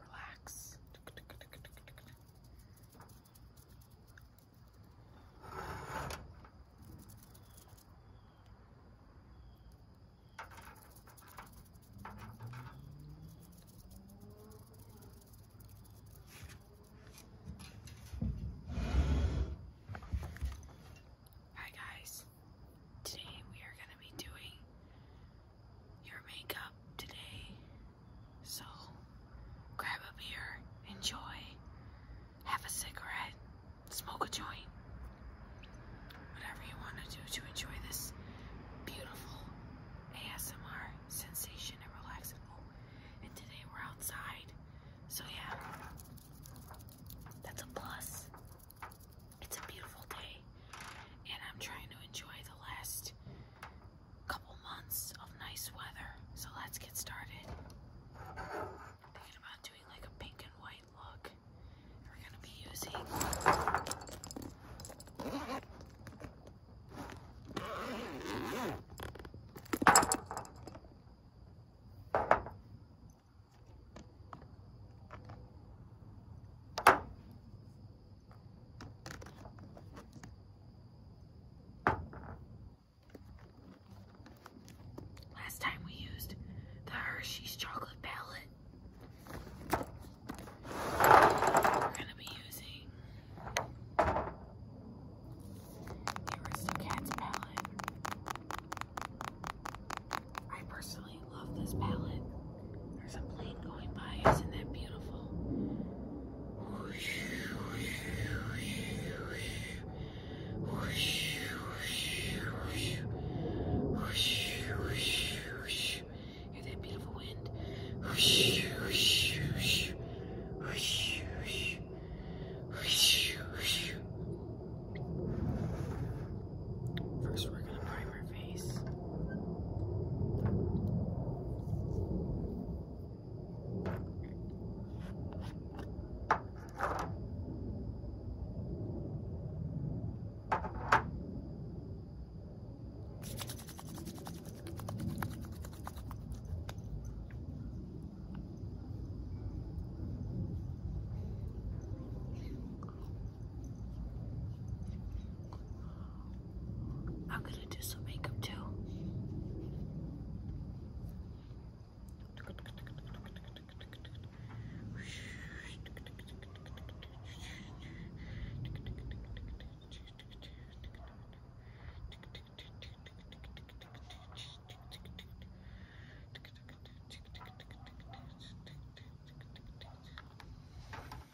Relax. Hi guys. Today we are going to be doing your makeup today. So grab a beer, enjoy, have a cigarette, smoke a joint, whatever you want to do to enjoy this beautiful ASMR sensation and relaxing. Oh, and today we're outside. So yeah, that's a plus. It's a beautiful day, and I'm trying to enjoy the last couple months of nice weather. So let's get started. thinking about doing like a pink and white look. We're gonna be using. Last time we used the Hershey's chocolate palette. We're going to be using the Aristocats palette. I personally absolutely love this palette. There's a plane going by. Isn't that beautiful? Hear that beautiful wind? First, we're going to prime through her face. I'm gonna do some makeup too.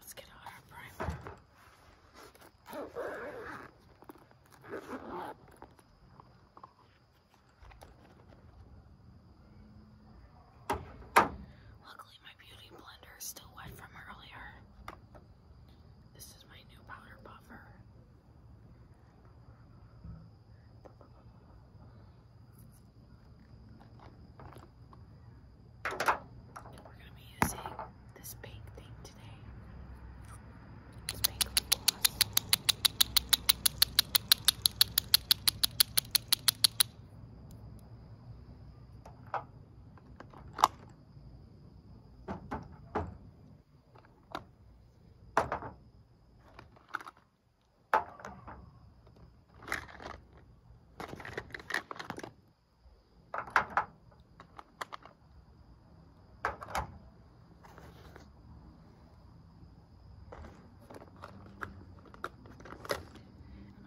Let's get out our primer. Luckily, my beauty blender is still wet from earlier. This is my new powder buffer. And we're going to be using this pink thing today. This pink lip gloss. I'm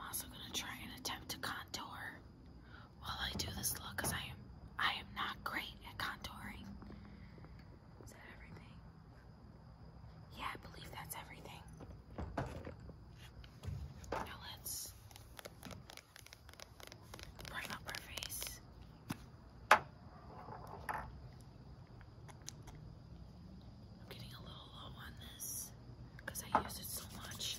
also going to try and attempt to contour while I do this look because I am I am not great at contouring. Is that everything? Yeah, I believe that's everything. Now let's bring up her face. I'm getting a little low on this because I use it so much.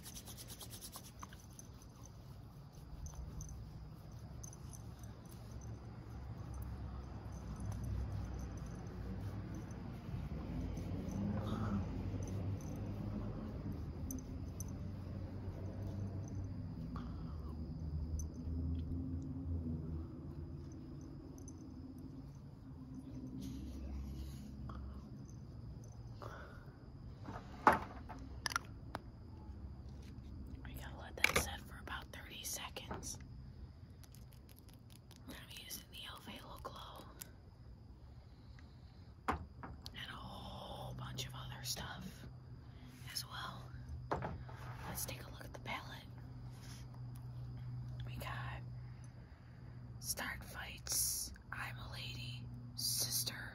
We gotta let that set for about 30 seconds. I'm using the e.l.f. Glow and a whole bunch of other stuff as well. Let's take a look at the palette. We got Start Fights, I'm a Lady, Sister,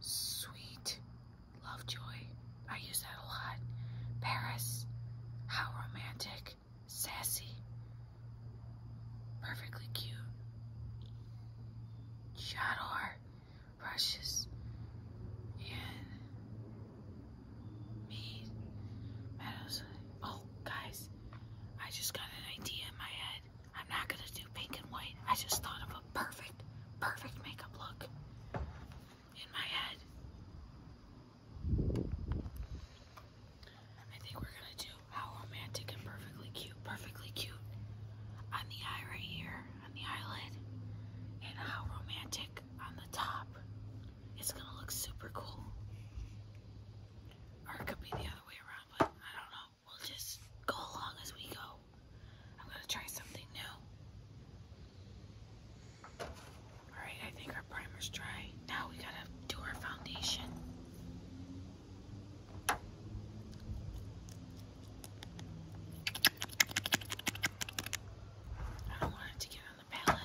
Sweet, Lovejoy. I use that a lot. Paris, How Romantic, sassy, perfectly cute. Shador precious. me Oh guys, I just got an idea in my head. I'm not gonna do pink and white. I just thought of a perfect, perfect makeup look in my head. I think we're gonna do how romantic and perfectly cute, perfectly cute on the eye right here, on the eyelid, and how romantic on the top. It's gonna look super cool. Or it could be the other way around, but I don't know. We'll just go along as we go. I'm gonna try something new. Alright, I think our primer's dry. Now we gotta do our foundation. I want it to get on the palette.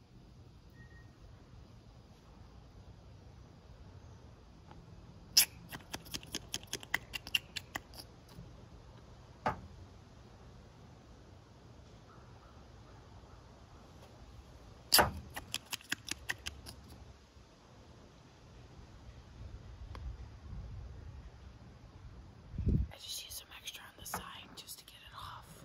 I just use some extra on the side just to get it off.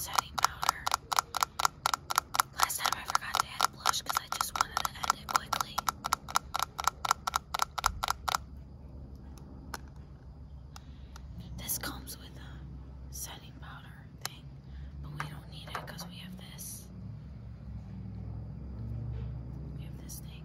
setting powder. Last time I forgot to add blush because I just wanted to add quickly. This comes with a setting powder thing, but we don't need it because we have this. We have this thing.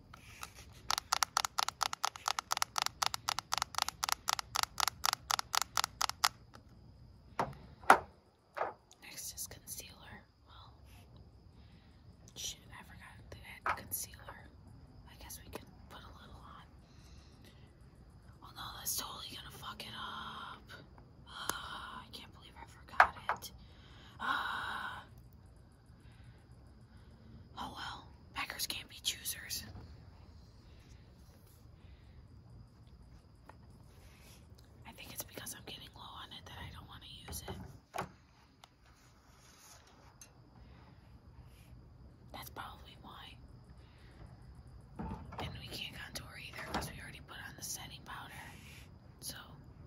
Next is concealer. Well, shoot, I forgot that concealer. I guess we can put a little on. Oh no, that's totally gonna fuck it up. Ah, I can't believe I forgot it. Uh, Oh well, beggars can't be choosers. I think it's because I'm getting low on it that I don't want to use it. That's probably why. And we can't contour either because we already put on the setting powder. So,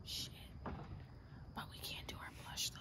shit. But we can't do our blush though.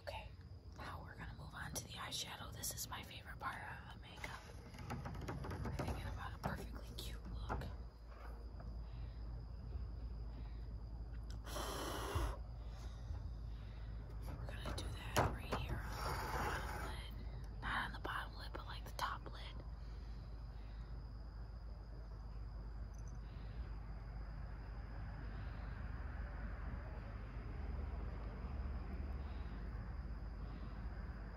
Okay, now we're gonna move on to the eyeshadow. This is my favorite part of makeup. We're thinking about a perfectly cute look. We're gonna do that right here on the bottom lid. Not on the bottom lid, but like the top lid.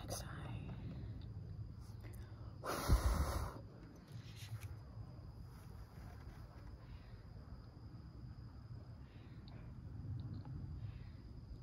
Next eye.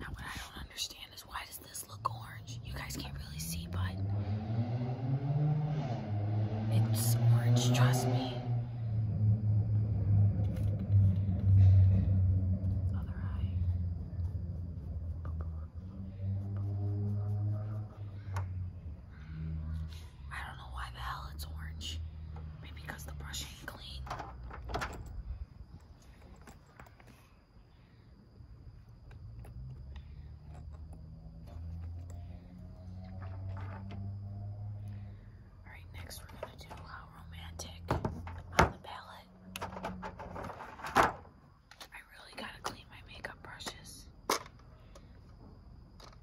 Now what I don't understand is why does this look orange? You guys can't really see, but it's orange, trust me. I don't know why the hell it's orange. Maybe because the brush ain't clean. Alright, next we're gonna do uh, romantic on the palette. I really gotta clean my makeup brushes.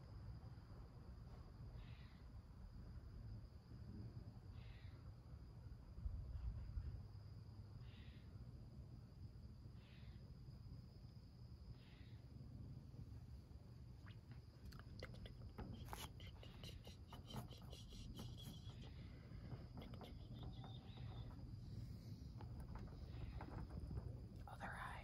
Other eye.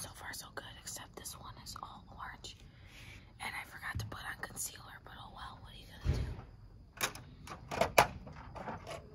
So far, so good, except this one is all orange. And I forgot to put on concealer, but oh well, what are you gonna do?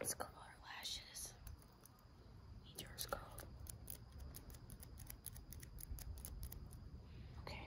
Let's curl our lashes. Need yours curled. Okay.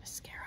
Mascara.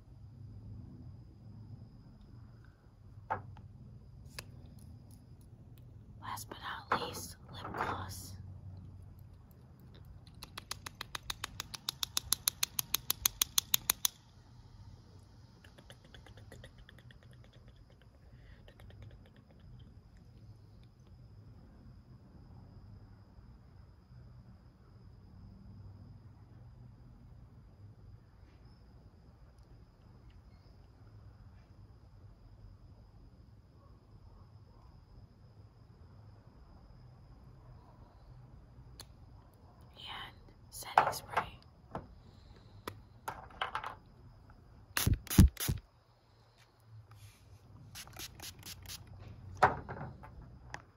Last but not least, lip gloss and setting spray.